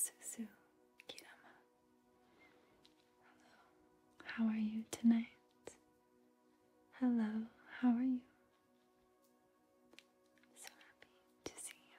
Suzu Kirama. Hello. How are you tonight? Hello, how are you? So happy to see you.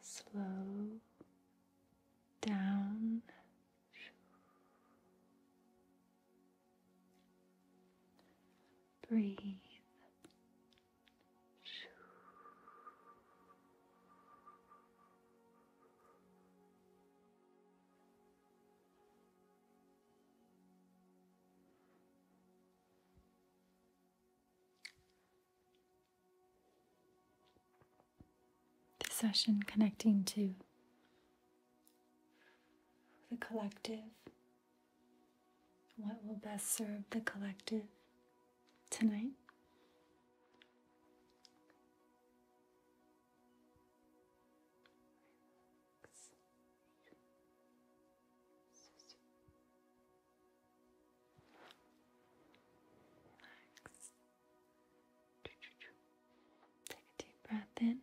slow down. Breathe. This session connecting to the collective, what will best serve the collective tonight. Take a deep breath in.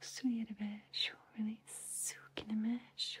수입에 슈 release 숙이는 슈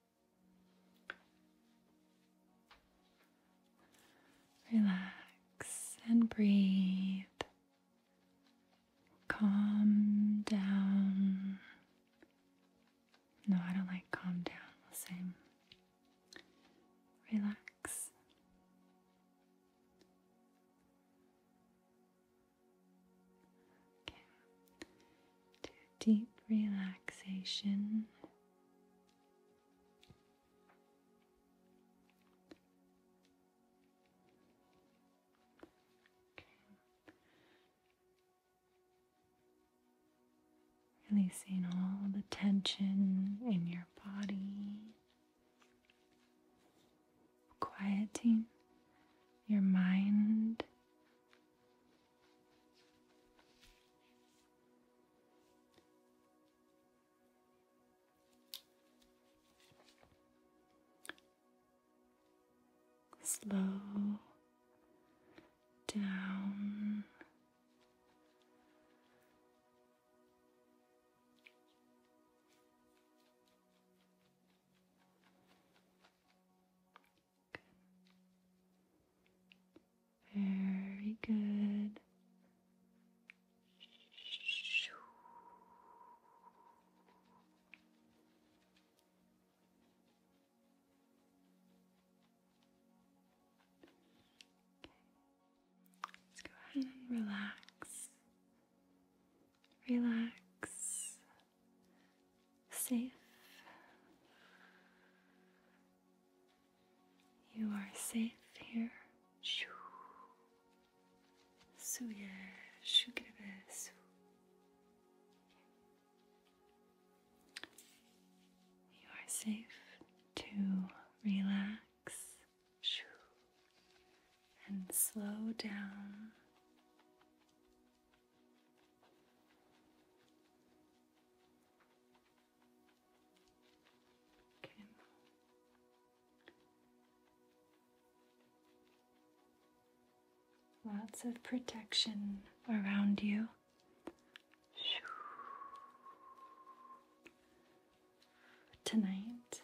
Relax and breathe. Calm down. No, I don't like calm down. same. Relax. Okay. deep relaxation. Okay. Releasing all the tension in your body, quieting your mind Slow down very good. Let's go ahead and relax. Relax safe. You are safe here. So yeah, You are safe to relax and slow down Lots of protection around you. Tonight,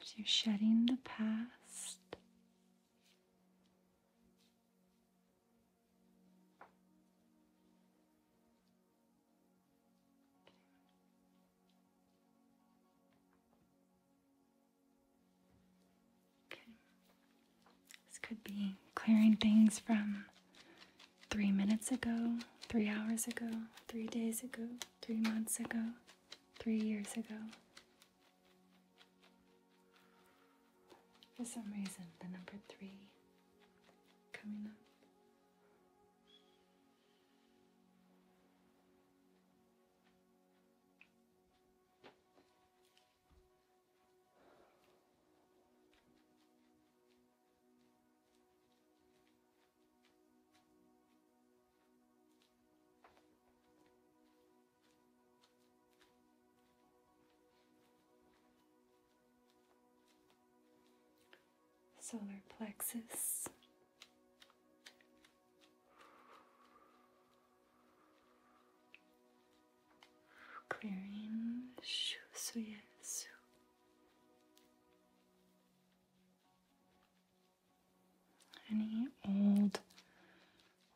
As you're shedding the past, this could be clearing things from three minutes ago, three hours ago, three days ago, three months ago, three years ago. For some reason, the number three coming up solar plexus Clearing shusuyesu. Any old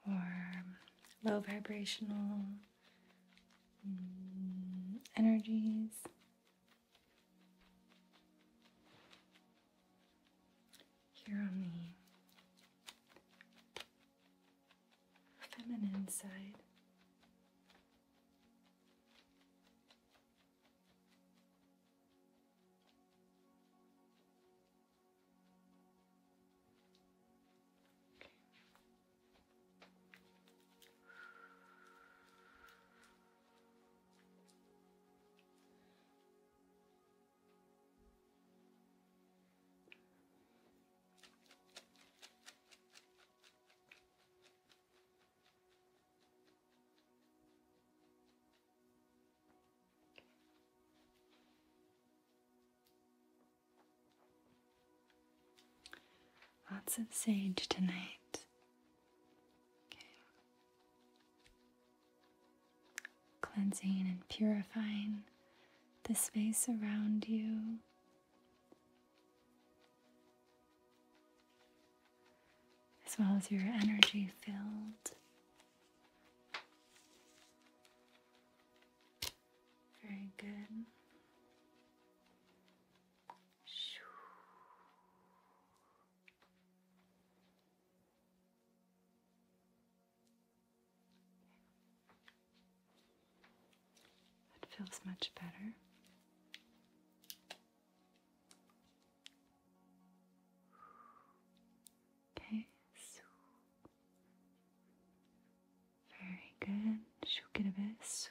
or low vibrational mm, energies here on the feminine side. Lots of sage tonight. Okay cleansing and purifying the space around you. As well as your energy field. Very good. That feels much better. Okay, so very good. Shook it a bit.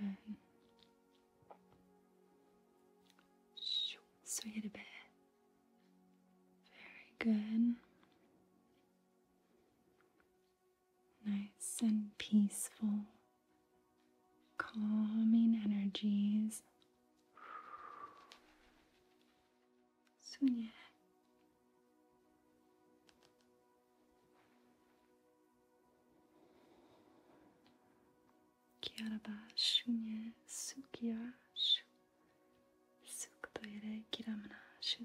Okay. Swing it a bit. Very good nice and peaceful, calming energies. Sunye. Kiaraba shunye sukiya shu sukutoye re kiramana shu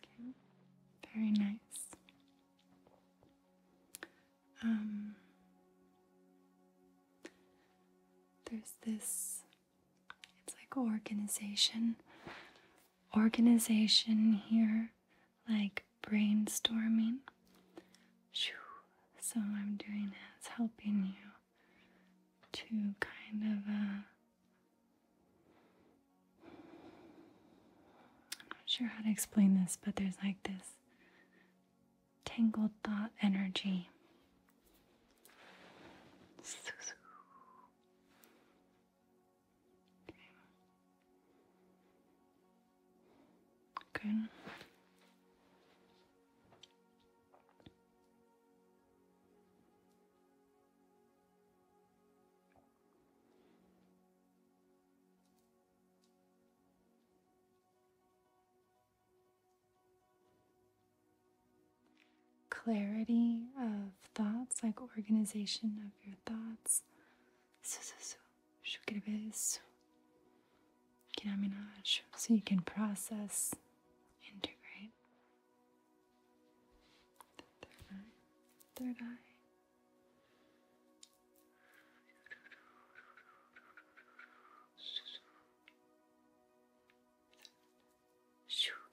Okay, very nice. Um, there's this, it's like organization, organization here, like brainstorming. So I'm doing that, it's helping you to kind of uh, I'm not sure how to explain this, but there's like this tangled thought energy. Okay. Clarity of thoughts, like organization of your thoughts. So so so, so you can process, integrate. third eye, third eye.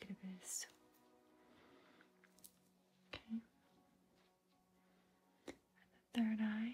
Look at this. Okay. the third eye.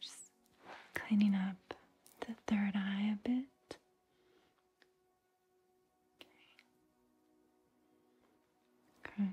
Just cleaning up the third eye a bit. Okay. Good.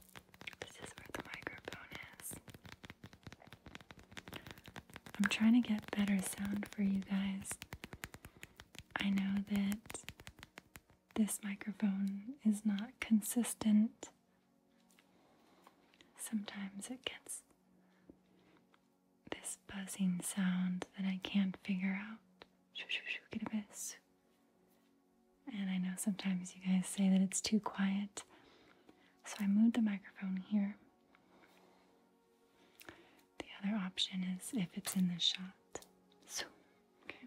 This is where the microphone is. I'm trying to get better sound for you guys. I know that this microphone is not consistent. Sometimes it gets this buzzing sound that I can't figure out. Get a bit. And I know sometimes you guys say that it's too quiet. So I moved the microphone here. The other option is if it's in the shot. So, okay.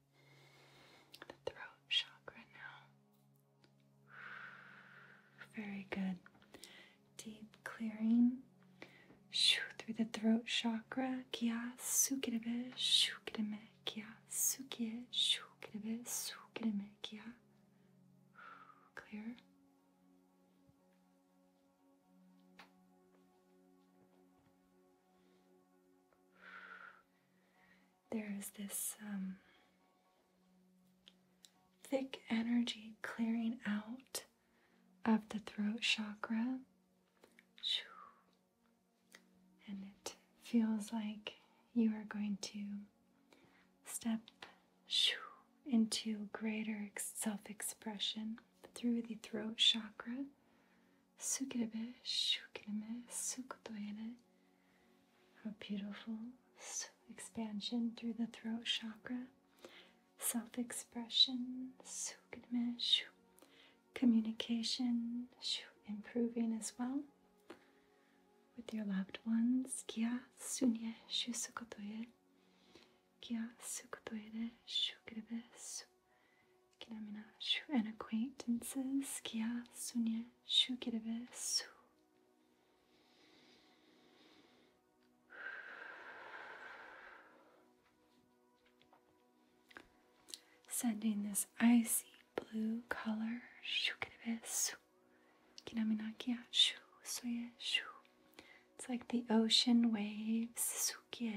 the throat chakra now. Very good. Deep clearing. Shoo through the throat chakra. Kya sukirebe, shukireme, kya sukie, shukirebe, sukireme, kya. Clear there is this um, thick energy clearing out of the throat chakra. And it feels like you are going to step into greater self expression through the throat chakra. Sukirebe Shukireme Sukutoyene. A beautiful expansion through the throat chakra, self expression, Sukireme Communication, improving as well with your loved ones. Kia sunye shusukotoye. Kia sukotoye de shukirebe Kinamina shu and acquaintances kia sunya shu kirabe su. Sending this icy blue color shu kirabe su. Kinamina It's like the ocean waves. Sukie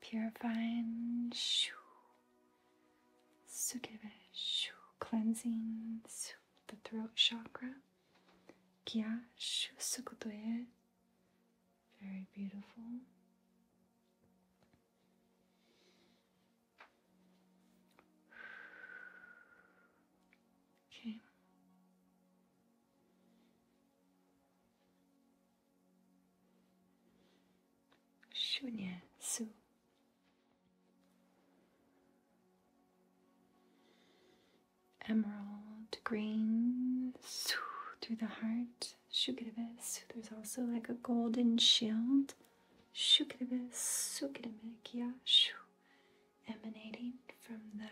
purifying, shoo, sukhiva, shoo, cleansing the throat chakra, kya, shoo, sukutoye, very beautiful. Okay. Shunya Su. Emerald green Su through the heart. Shukidabes. There's also like a golden shield. Shukidabes. Sukidabes. Emanating from the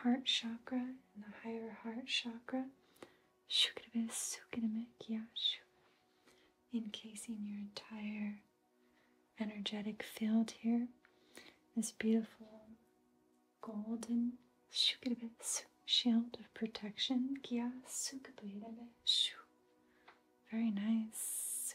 heart chakra and the higher heart chakra, encasing your entire energetic field here. This beautiful golden shield of protection. Very nice.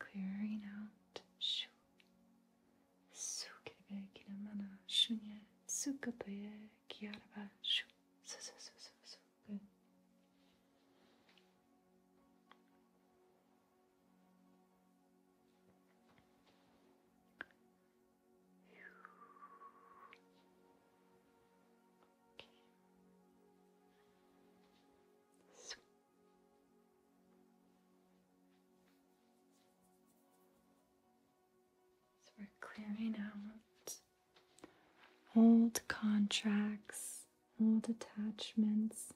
Clearing out shu sukirbe kinamana shunya sukatoye kiaraba shu su su su su su good. So. we're clearing out old contracts, old attachments.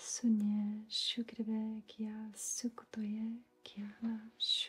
수니에 슈그레베 기아 수쿠토에 기아나 슈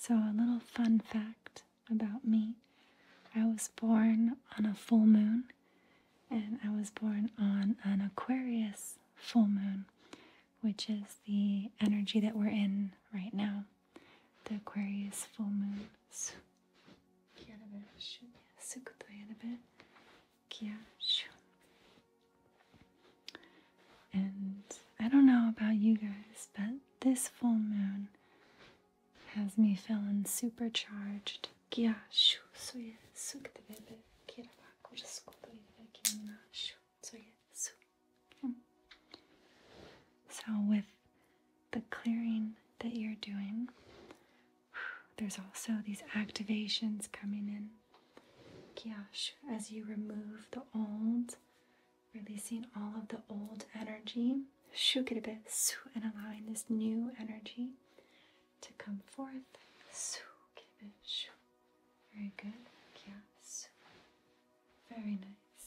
So, a little fun fact about me I was born on a full moon, and I was born on an Aquarius full moon, which is the energy that we're in right now the Aquarius full moons. And I don't know about you guys, but this full moon has me feeling supercharged. So, with the clearing that you're doing, there's also these activations coming in. Kyash, as you remove the old, releasing all of the old energy, and allowing this new energy to come forth. Very good. Yes. Very nice.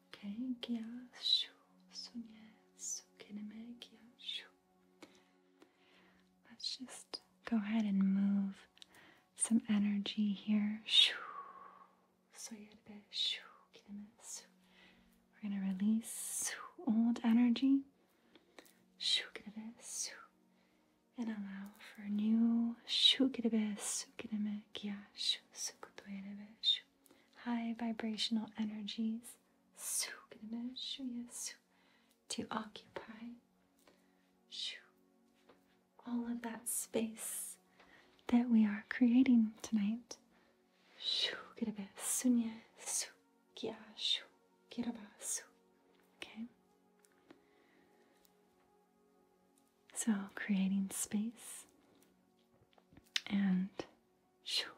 Okay, Kenkia shu sunye sukinemekia shu. Let's just go ahead and move some energy here. Shu soyerbe shu kinemesu. We're gonna release old energy. Shu kinemesu. And allow for new shu kinemesu kinemekia shu sukutoyerebe shu high vibrational energies to occupy all of that space that we are creating tonight. Okay. So creating space and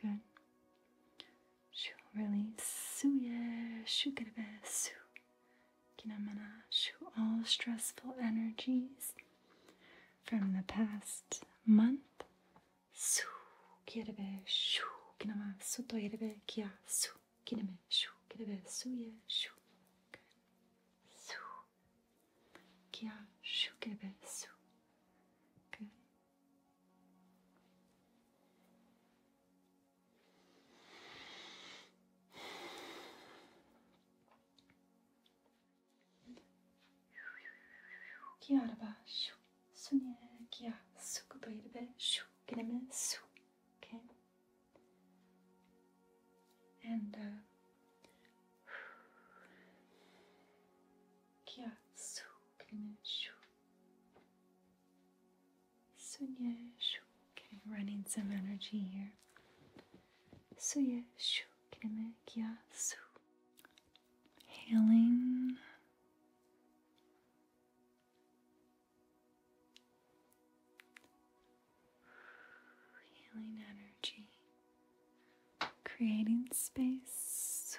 Good. Shoo, release. Suye, shukarebe, su. Kinamana, shoo, all stressful energies from the past month. get a kirebe, shoo, kinama, soto yerebe, kia, su, kiname, shoo, kirebe, suye, shoo. Su, kia, shukarebe, su. Good. 기아라봐 슉 순이야 기아 쑥도 이르베 슉 그러면 쑥 okay and uh, 기아 쑥 그러면 슉 Sunyesh. Okay, running some energy here. Suyesh. Su. Hailing. Healing energy. Creating space.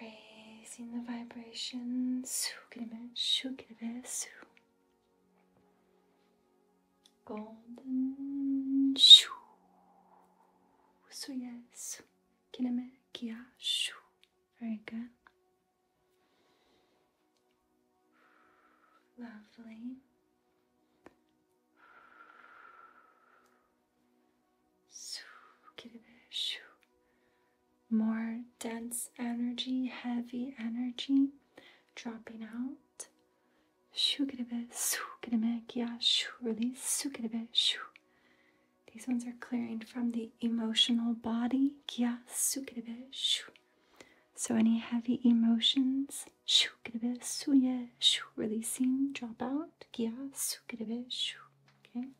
Raising the vibrations. Golden shoo. So yes. Very good. Lovely. More dense energy, heavy energy dropping out. Yeah, Release. These ones are clearing from the emotional body. So, any heavy emotions, releasing, drop out. Okay.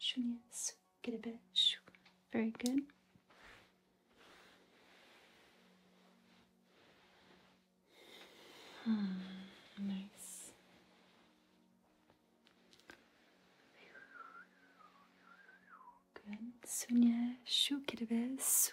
Shunya. Get a bit. Very good. Hmm, nice. Good. Sunya shu kirabe su.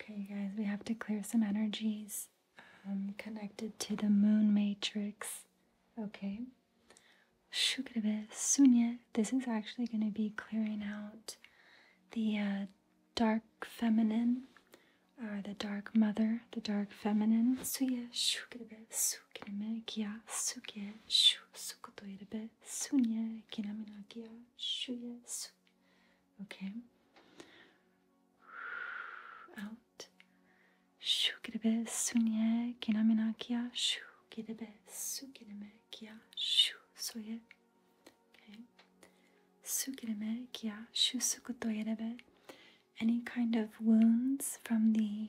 Okay, guys, we have to clear some energies um, connected to the moon matrix. Okay. Sunya, this is actually going to be clearing out the uh, dark feminine, or uh, the dark mother, the dark feminine. Suya, shukrebe, sukineme, kya, suke, shu, sukotoirebe, sunya kinamilakia shuya su. Okay. Out. Shu kirebe sunya kinamilakia shu kirebe su kireme kia shu soye. Okay. Su kireme kia shu sukutoyerebe. Any kind of wounds from the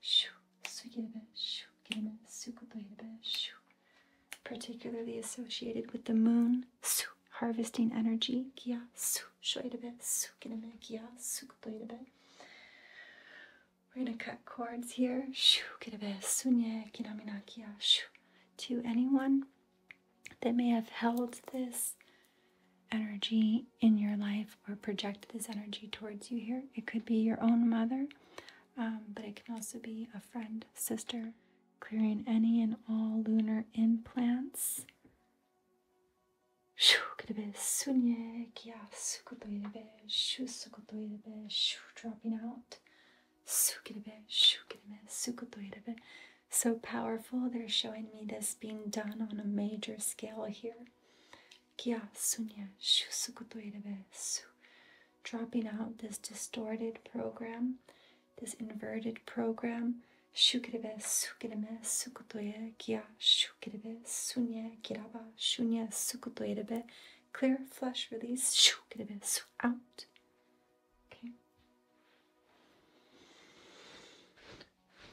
Shoo, sugirebe, shoo, gireme, sukutoirebe, shoo. Particularly associated with the moon, su, harvesting energy, kia, su, shoirebe, sukirebe, kia, sukutoirebe. We're going to cut cords here, shoo, girebe, sunye, kinamina, kia, shoo. To anyone that may have held this energy in your life or project this energy towards you here. It could be your own mother, um, but it can also be a friend, sister, clearing any and all lunar implants. Shoo dropping out. So powerful. They're showing me this being done on a major scale here. Kya Sunya Shusukutoirebesu. Dropping out this distorted program, this inverted program. Shukirebe Sukireme Sukutoye Kya Shukirebe Sunya Kiraba Shunya Sukutoirebe. Clear, flush, release, Shukirebe Su out. Okay.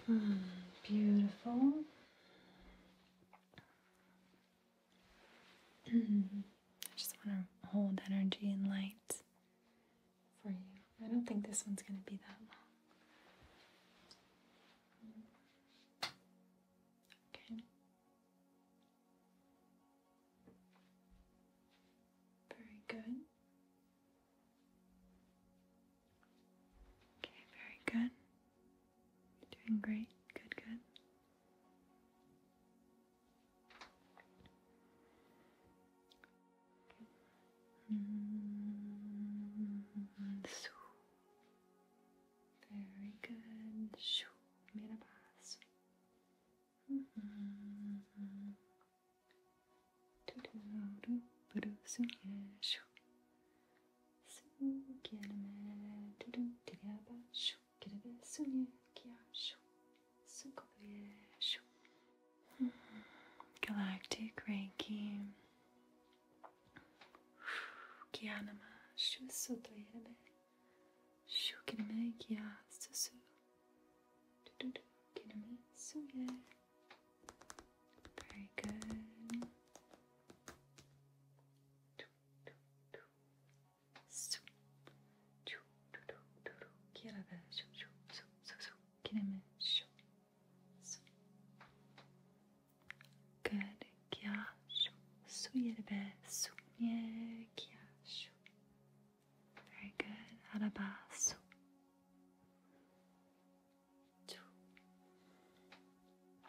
Hmm, beautiful. I just want to hold energy and light for you. I don't think this one's going to be that long. Okay. Very good. Okay, very good. You're doing great. Good, good. Very good. Shoo. Made a pass. Mm -hmm. Do do do do do. Yeah, shoo. Sukienemy, tudum, tyriaba, shu, kirebe, sunie, kia, shu, sukobe, shu. Galactic Reiki. Kia nama, shu, soto, yerebe, shu, kirebe, kia, susu, tududu, kirebe, suye. Very good. Good kiasho. Suyerbesu. Yeah, kiasho. Very good. Arabasu.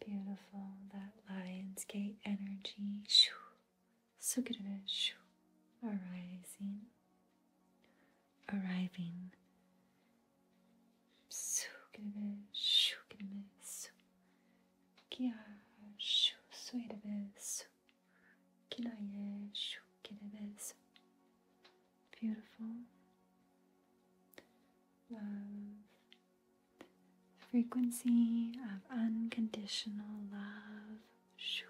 Beautiful, that Lion's Gate energy. Sugadesh. Arising. Arriving Su su kia shu su kinaye shu su Beautiful love, frequency of unconditional love, shu.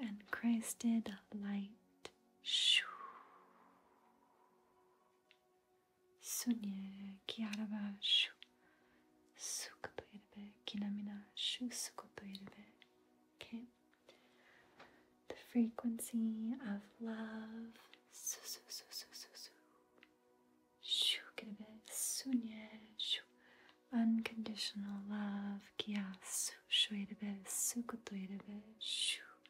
and Christed light Sunye kiaraba shu sukapairabe kinamina shu sukapairabe. Okay. The frequency of love su su su su su su shu kirabe sunye shu unconditional love kia su shuirabe sukapairabe shu.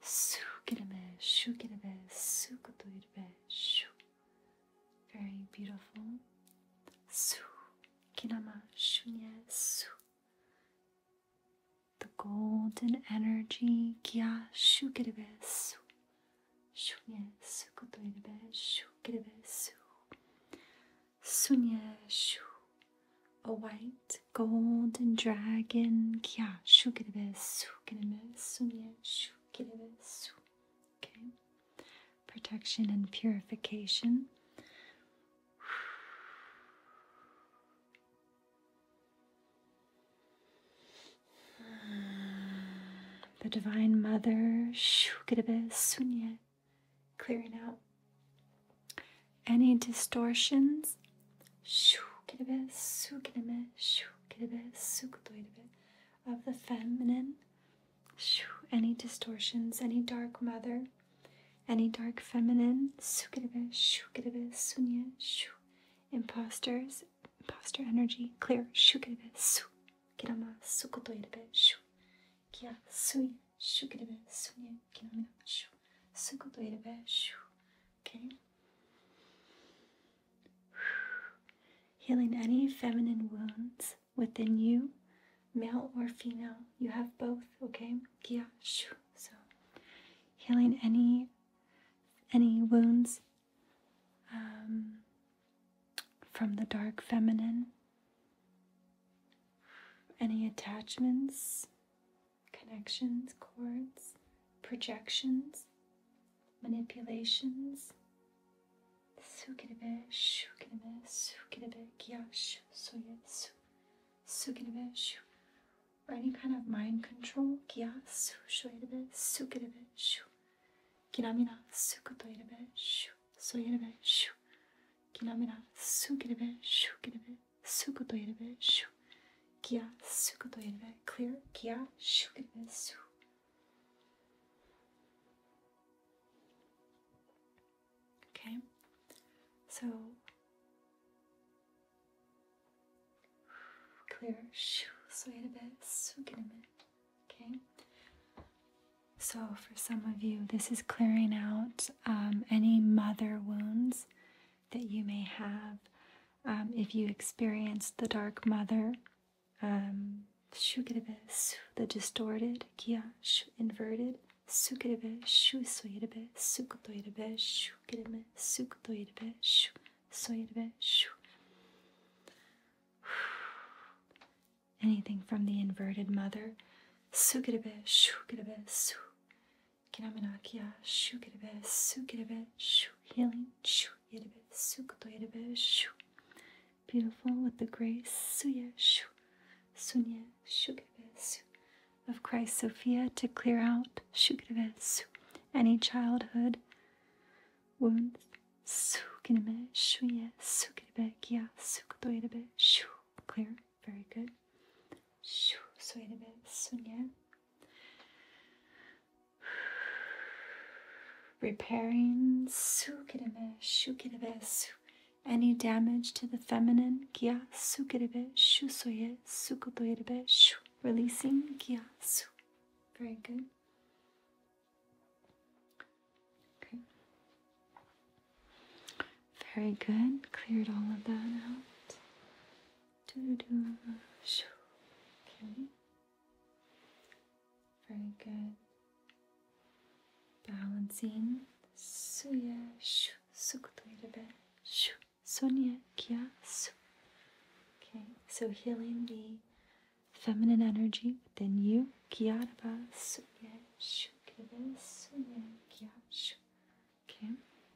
Su kirame, shu kirame, su kotoirbe, shu. Very beautiful. Su kinama, shunye, su. The golden energy, kya, shu kirame, su. Shunye, su kotoirbe, shu kirame, su. Sunye, shu. A white golden dragon. Okay. Protection and purification. The Divine Mother, clearing out any distortions shoo kirebe, su kirebe, shoo kirebe, sukutoirebe of the feminine. Shoo, any distortions, any dark mother, any dark feminine, sukirebe, shukirebe, sunya, shu, imposters, imposter energy, clear, shukirebe, su, kirama, sukutoirebe, shu, kia, suya, shukirebe, sunya, kinamina, shu, sukutoirebe, shu. Okay. Healing any feminine wounds within you, male or female. You have both, okay? Kia. So, healing any any wounds um, from the dark feminine, any attachments connections, cords, projections, manipulations. Sukinebe, shukinebe, sukinebe, gyash, suyetsu, sukinebe, shu. Or any kind of mind control, gyasu, shoyebe, sukinebe, shu. Kinamina, sukutoirebe, shu, soyebe, shu. Kinamina, sukinebe, shukinebe, sukutoirebe, shu kia sukoto yanbe, clear, kia shukanbe su. so clear, shu, soyanbe, Okay, so for some of you, this is clearing out um, any mother wounds that you may have. Um, if you experienced the Dark Mother, um, the distorted, kia, inverted, sukerebe, shu soyerebe, sukutoyerebe, shukerebe, sukutoyerebe, shu Anything from the inverted mother, sukerebe, shukerebe, su. Kinamanakya, shu kirebe, su kirebe, shu healing, shu yerebe, su koto yerebe, shu. Beautiful with the grace, suya, shu, sunya, shu kirebe, su. Of Christ Sophia to clear out, shu kirebe, su. Any childhood wounds, su kirebe, shu ye, su kirebe, kya, su koto yerebe, shu. Clear, very good. Shu, su yerebe, sunya repairing any damage to the feminine Kia shu releasing Kia su. very good okay very good cleared all of that out do do. Okay. Very good. Balancing. Suya shu sukutuyrabe shu sonya kya su. Okay. So healing the feminine energy within you. Kyaraba suya shu kya suya kya shu. Okay.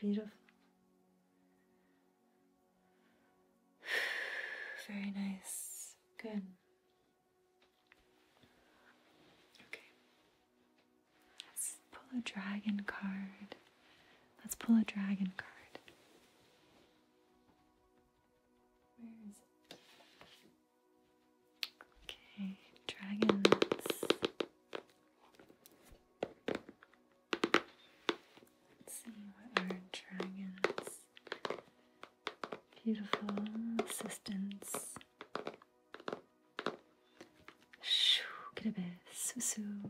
Beautiful. Very nice. Good. Okay. Let's pull a dragon card. Let's pull a dragon card. Where is it? Okay, dragons see our dragon's beautiful assistants. Shoo, get a bit, susu.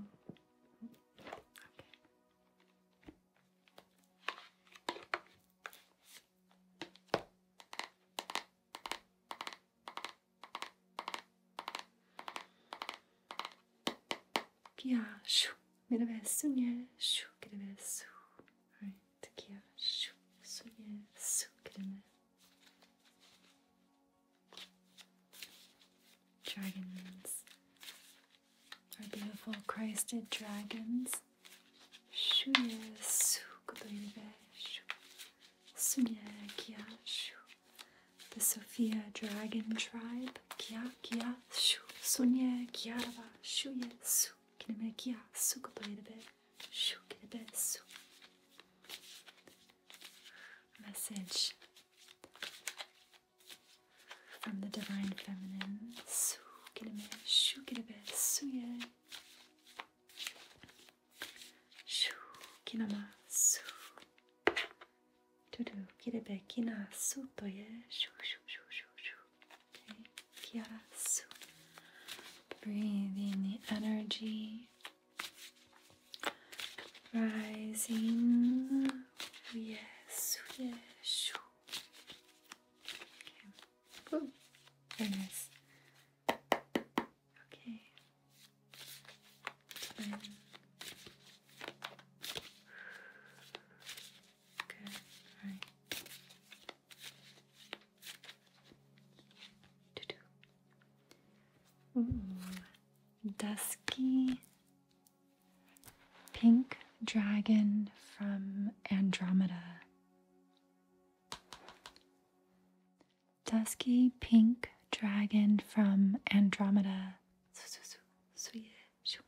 Pia, shoo. Merhaba, sunye, shoo, kelime, su. Alright, kia, shoo, sunye, su, kelime. Dragons. Our beautiful Christed dragons. Shoo, su, kelime, shoo. Sunye, kia, shoo the Sofia Dragon Tribe, Kia Kia Shu Sunye Kiarava Shuye Su Kineme Kia Sukupairabe Shu Kinebe Su Message from the Divine Feminine Su Kineme Shu Kinebe Suye Shu Kinama Su Kirebekinasu toye shu shu shu shu shu. Okay, kiasu. Breathe in the energy. Rising. Yes, yes. Okay. Ooh, there Okay, dusky pink dragon from Andromeda. Dusky pink dragon from Andromeda. So, so, so, so, yeah. Shoo.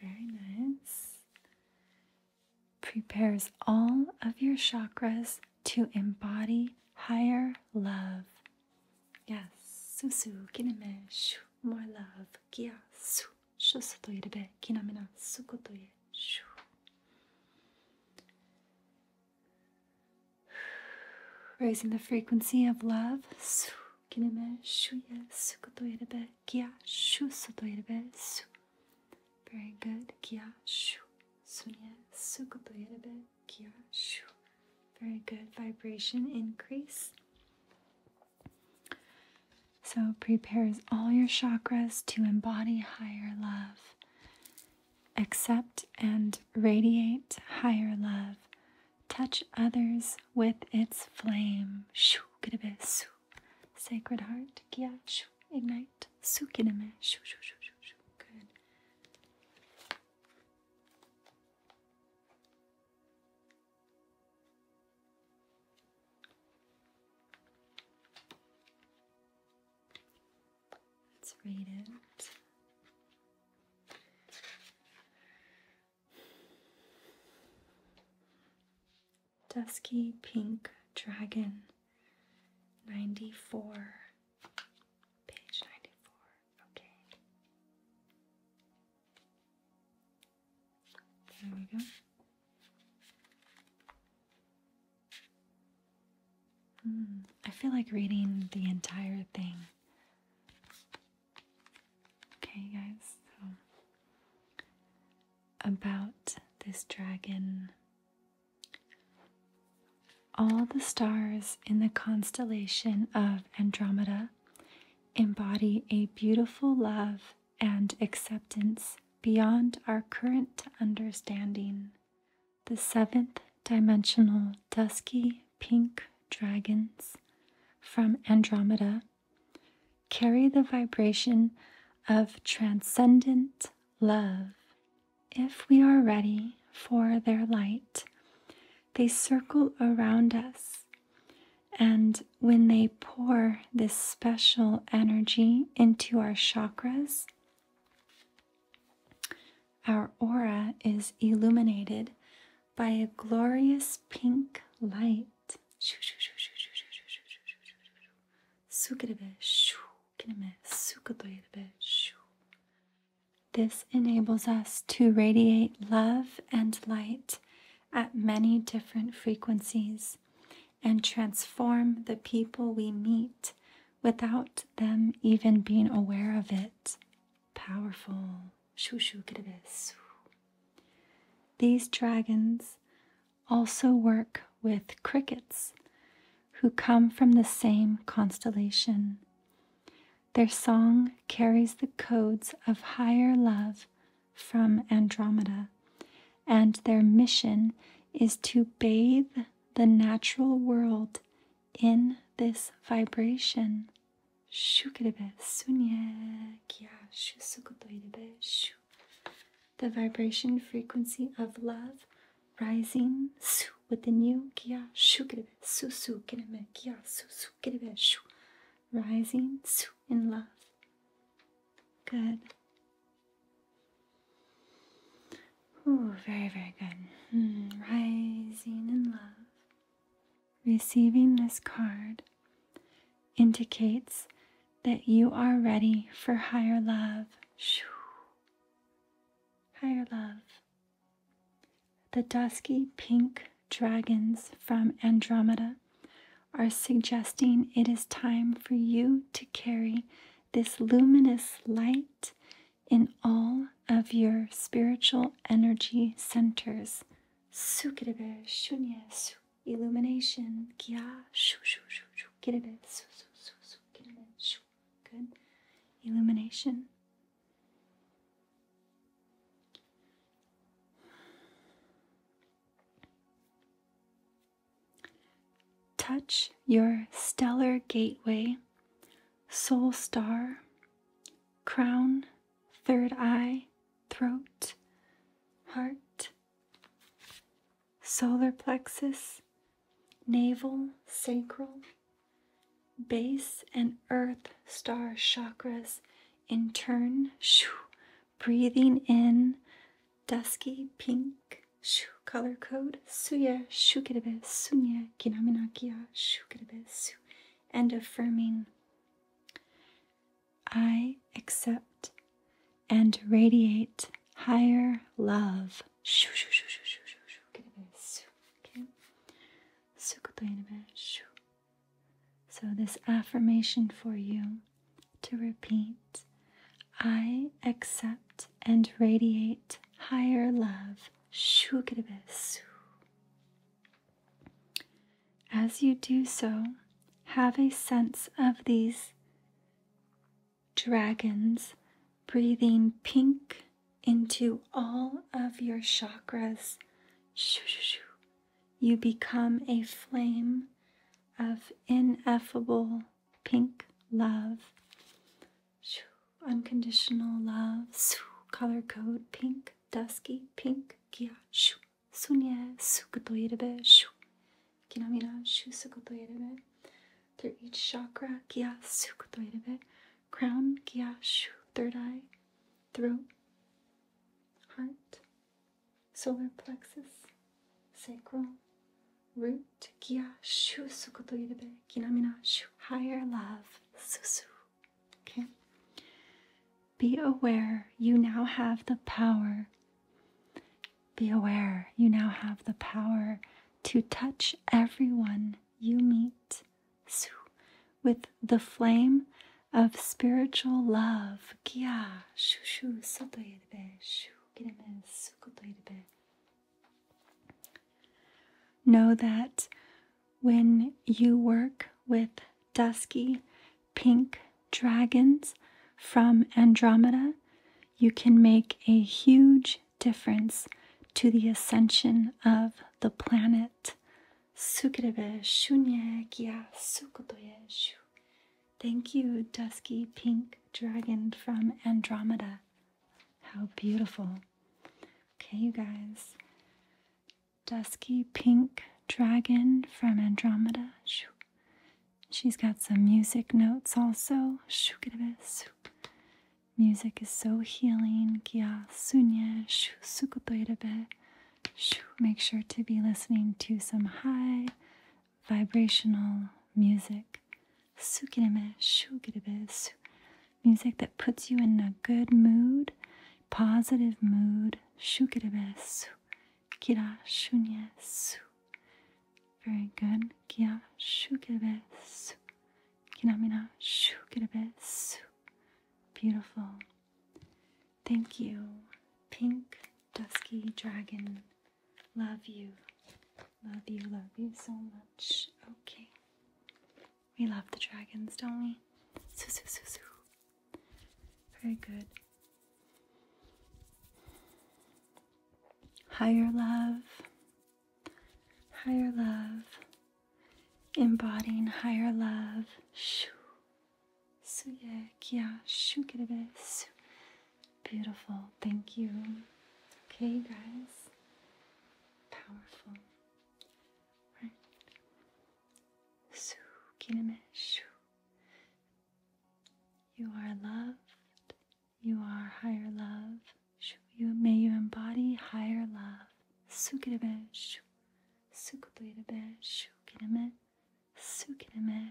Very nice. Prepares all of your chakras to embody higher love. Yes. Susu, kineme, shu, more love. Kia, su, shusoto irebe, kinamina, sukotoye, shu. Raising the frequency of love. Very good. Very good vibration increase. So prepares all your chakras to embody higher love accept and radiate higher love. Touch others with its flame. Shoo, Sacred heart, kia, ignite. Su, kideme, shoo, shoo, shoo, shoo, Good. Let's read it. Dusky Pink Dragon 94. Page 94. Okay. There we go. Mm, I feel like reading the entire thing Okay, guys, about this dragon. All the stars in the constellation of Andromeda embody a beautiful love and acceptance beyond our current understanding the seventh dimensional dusky pink dragons from Andromeda carry the vibration of transcendent love. If we are ready for their light, they circle around us. And when they pour this special energy into our chakras, our aura is illuminated by a glorious pink light. This enables us to radiate love and light at many different frequencies and transform the people we meet without them even being aware of it powerful. These dragons also work with crickets who come from the same constellation. Their song carries the codes of higher love from Andromeda, and their mission is to bathe the natural world in this vibration shukrebe sunye kya shu sukutoirebe shu. The vibration frequency of love rising su within you kya shukrebe su su kirebe kya su su kirebe shu. Rising su in love. Good. Oh, very, very good. Hmm, rising in love. Receiving this card indicates that you are ready for higher love. Higher love. The dusky pink dragons from Andromeda are suggesting it is time for you to carry this luminous light in all of your spiritual energy centers. Sukirebe shunyas illumination kia shu shu shu shu kirebe su su su su kirebe shu good illumination. Touch your stellar gateway, soul star, crown, third eye, throat, heart, solar plexus, navel, sacral, base, and earth star chakras in turn. Shoo, breathing in dusky pink. Shoo, color code suya shukirebe sunya kinamina kia shukirebe su and affirming. I accept and radiate higher love. So, this affirmation for you to repeat I accept and radiate higher love. As you do so, have a sense of these dragons breathing pink into all of your chakras. You become a flame of ineffable pink love unconditional love, color code pink, dusky pink, gya, shu, sunye, sukotoyerebe, shu, kinamira, shu, sukotoyerebe, through each chakra, gya, sukotoyerebe, crown, Kiashu, third eye, throat, heart, solar plexus, sacral, root, gya, shu, sukotoyerebe, kinamira, shu, higher love, susu. Okay. Be aware you now have the power. Be aware you now have the power to touch everyone you meet with the flame of spiritual love. Know that when you work with dusky pink dragons from Andromeda, you can make a huge difference to the ascension of the planet. sukotoyeshu. Thank you, dusky pink dragon from Andromeda. How beautiful. Okay, you guys dusky pink dragon from Andromeda. She's got some music notes also. Music is so healing. Make sure to be listening to some high vibrational music music that puts you in a good mood, positive mood. Shukirebesu, kira shunyesu. Very good. Kira shukirebesu, kinamina shukirebesu. Beautiful. Thank you, Pink Dusky Dragon. Love you. Love you, love you so much. Okay. We love the dragons, don't we? Soo, soo, Very good. Higher love, higher love, embodying higher love. Shoo. Suye kia shukiribes. Beautiful. Thank you. Okay, guys. Powerful right? You are loved. You are higher love. You may you embody higher love. Sukirame shu. Sukutirame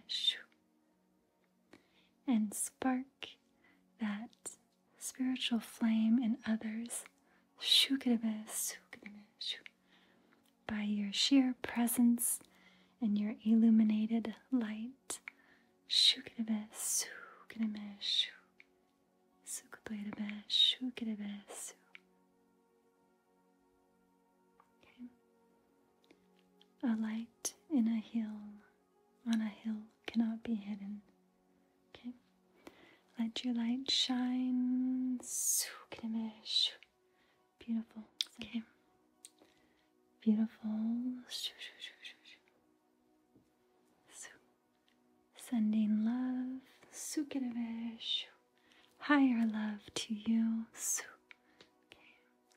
shu. And spark that spiritual flame in others by your sheer presence and your illuminated light. Okay. A light in a hill, on a hill, cannot be hidden. Okay. Let your light shine. Beautiful. Okay. Beautiful. Sending love, higher love to you.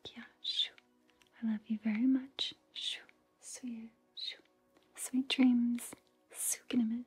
Okay. I love you very much. Sweet dreams. Good night.